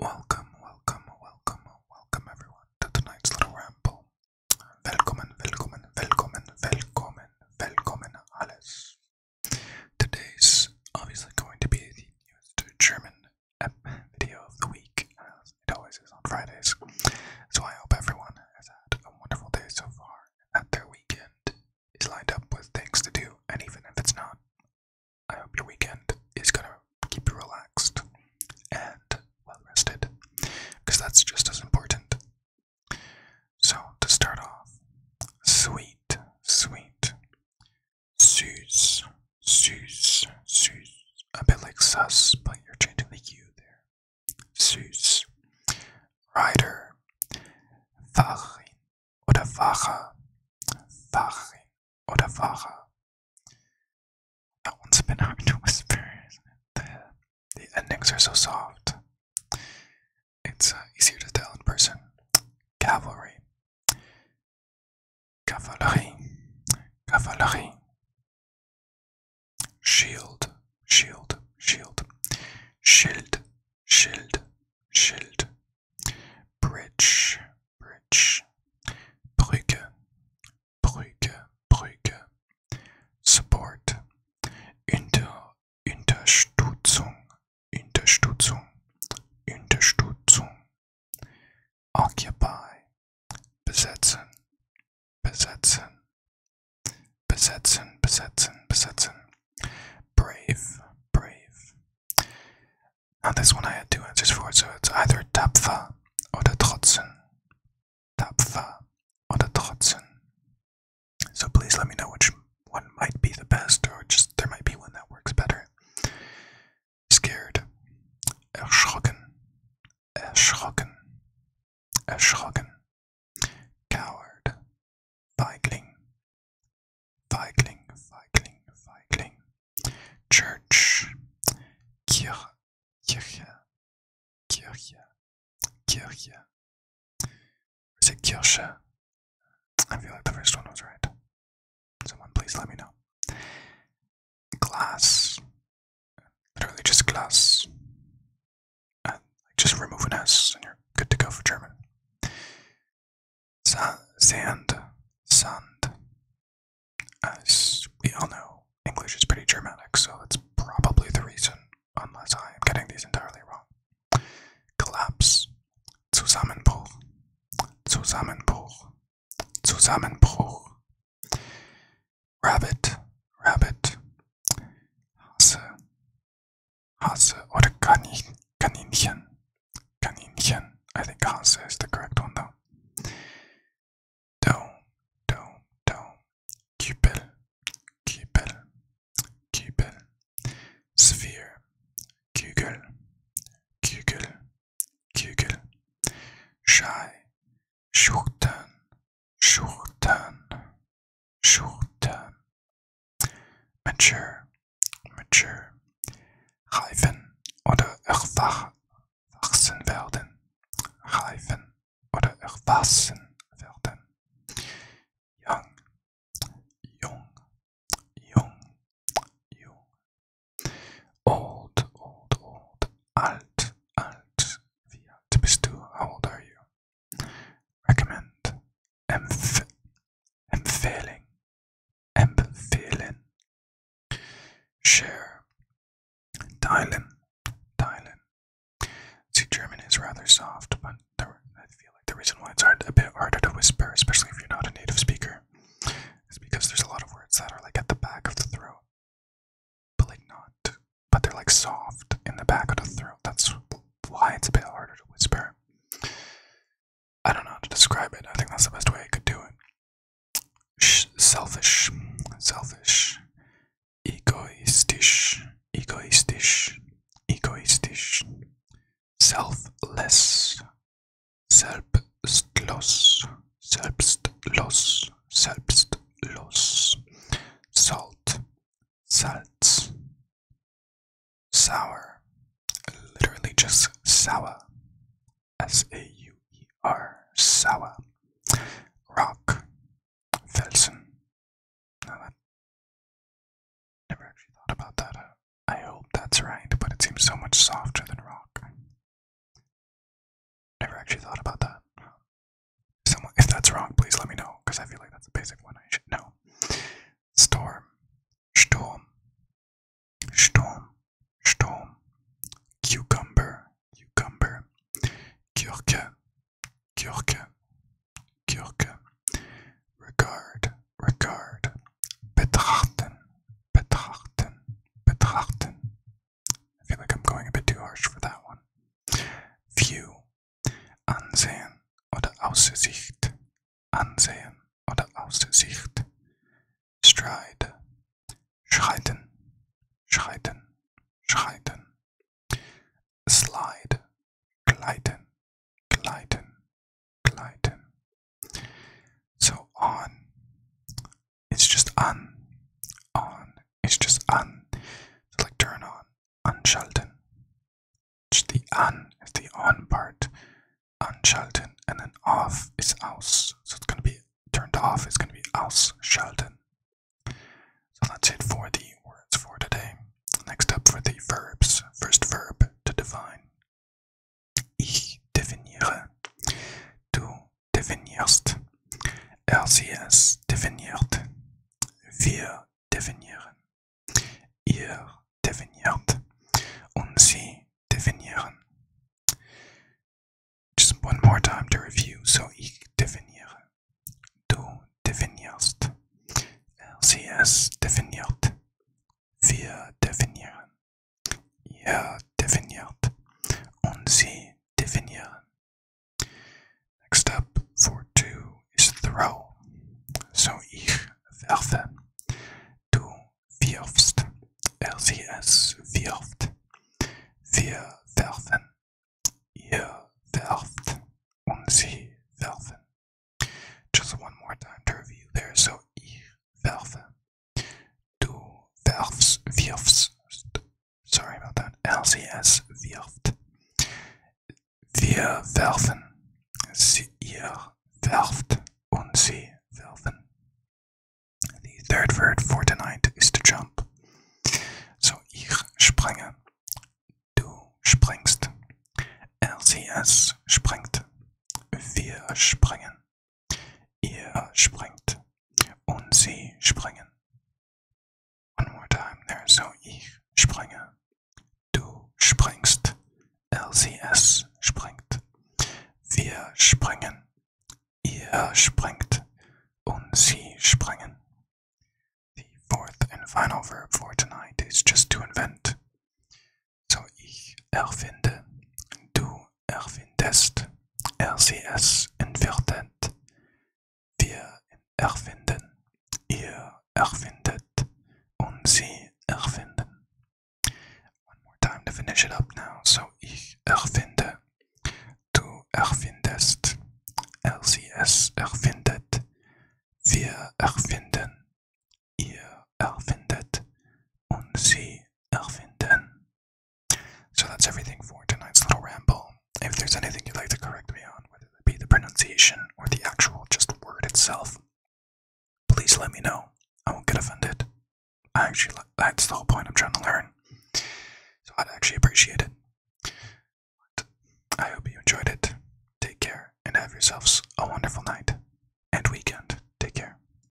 Welcome, welcome, welcome, welcome everyone to tonight's little ramble. Velkommen, velkommen, velkommen, velkommen, velkommen, alles. Today's obviously going to be the newest German video of the week, as it always is on Fridays. So I hope everyone has had a wonderful day so far, and that their weekend is lined up with things to do, and even if it's not, I hope your weekend is gonna keep you relaxed and well rested, because that's just as important. So, to start off, sweet, sweet, sus, sus, sus, a bit like sus, but you're changing the U there. Sus, rider, farin, oder Fahrer, Fahrerin oder Fahrer. That one's been hard to whisper. The, the endings are so soft. It's uh, easier to tell in person. Cavalry. cavalry, cavalry. Shield, shield, shield. shield, shield, schild. Bridge, Bridge. Brücke, Brücke, Brücke. Support. Inter, Unterstützung, Unterstützung, Unterstützung. Occupy. Besetzen, besetzen, besetzen, besetzen, besetzen. Brave, brave, Now this one I had two answers for, so it's either tapfer or the trotzen. Tapfer or the trotzen. So please let me know which one might be the best, or just there might be one that works better. Scared. Erschrocken. Erschrocken. Erschrocken. Coward. Feigling, Feigling, Feigling, Feigling. Church, Kirche, Kirche, Kirche, Kirche. Is it Kirche? I feel like the first one was right. Someone please let me know. Glass, literally just glass just remove an S and you're good to go for German. sand, sand. As we all know, English is pretty Germanic, so that's probably the reason, unless I am getting these entirely wrong. Collapse, Zusammenbruch, Zusammenbruch, Zusammenbruch. Rabbit, rabbit. Hase, Hase oder Kanin, Kaninchen. Kaninchen. I think Hase is the correct one though. Dome, dome, dome. Cupel, cupel, cupel. Sphere, kugel, kugel, kugel. Shy, schurten, schurten, Schulter. Mature, mature. Reifen oder erwachsen werden. Reifen oder erwachsen werden. Young, jung, jung, jung. Old, old, old. Alt, alt. Wie alt bist du? How old are you? recommend, empf empfehling, empfehlen, share, teilen, teilen. See, German is rather soft, but I feel like the reason why it's hard, a bit harder to whisper, especially if you're not a native speaker, is because there's a lot of words that are like at the back of the throat, but like not but they're like soft in the back of the throat. That's why it's a bit harder to whisper. I don't know how to describe it. I think that's the best way I could do it. Sh selfish, selfish, egoistisch, egoistisch, egoistisch, selfless, selbstlos, selbstlos, selbstlos, salt, Salz. Sour. Literally just sour. S A U E R. Sour. Rock. Felsen. never actually thought about that. I hope that's right, but it seems so much softer than rock. Never actually thought about that. Someone, if that's wrong, please let me know, because I feel like that's a basic one I should know. Storm, Sturm, Sturm, Sturm, Cucumber, Cucumber, Kirke, Kirke, Kirke, Regard, Regard, Betrachten, Betrachten, Betrachten, I feel like I'm going a bit too harsh for that one. View. Ansehen oder Aussicht. Ansehen oder Aussicht. Stride. Schreiten. Schreiten. Schreiten. Slide. Gleiten. Gleiten. Gleiten. So on. It's just on, on. It's just on. It's like turn on, anschalten. Just the an is the on part, anschalten, and then off is aus. So it's gonna be turned off. It's gonna be aus ausschalten. So that's it for the words for today. Next up for the verbs. First verb to define. Ich definiere. Du just one more time to review. So ich definiere, du definierst, RCS definiert, wir definieren, ihr definiert und sie definieren. Next up for two is throw. So ich werfe. Du wirfst. Er sie es wirft. Wir werfen. Ihr werft. Und sie werfen. Just one more time to review there. So ich werfe to the Sorry about that. LCS Wirft. Wir werfen. Sie, ihr werft und sie werfen. The third verb for tonight is to jump. So ich springe. Du springst. er LCS springt. Wir springen. Ihr springt und sie springen. One more time there. So ich springe. Du springst. LCS springt. Wir springen. Ihr springt. Und sie springen. The fourth and final verb for tonight is just to invent. So ich erfinde. Du erfindest, er sie es entwertet. Wir erfinden, ihr erfindet, und sie erfinden. One more time to finish it up now. So ich erfinde, du erfindest, er sie es erfindet, wir erfinden, ihr erfindet, und sie erfinden. So that's everything for tonight's little ramble. If there's anything you'd like to correct me on, whether it be the pronunciation or the actual just word itself, please let me know. I won't get offended. I actually, that's the whole point I'm trying to learn. So I'd actually appreciate it. I hope you enjoyed it. Take care and have yourselves a wonderful night and weekend. Take care.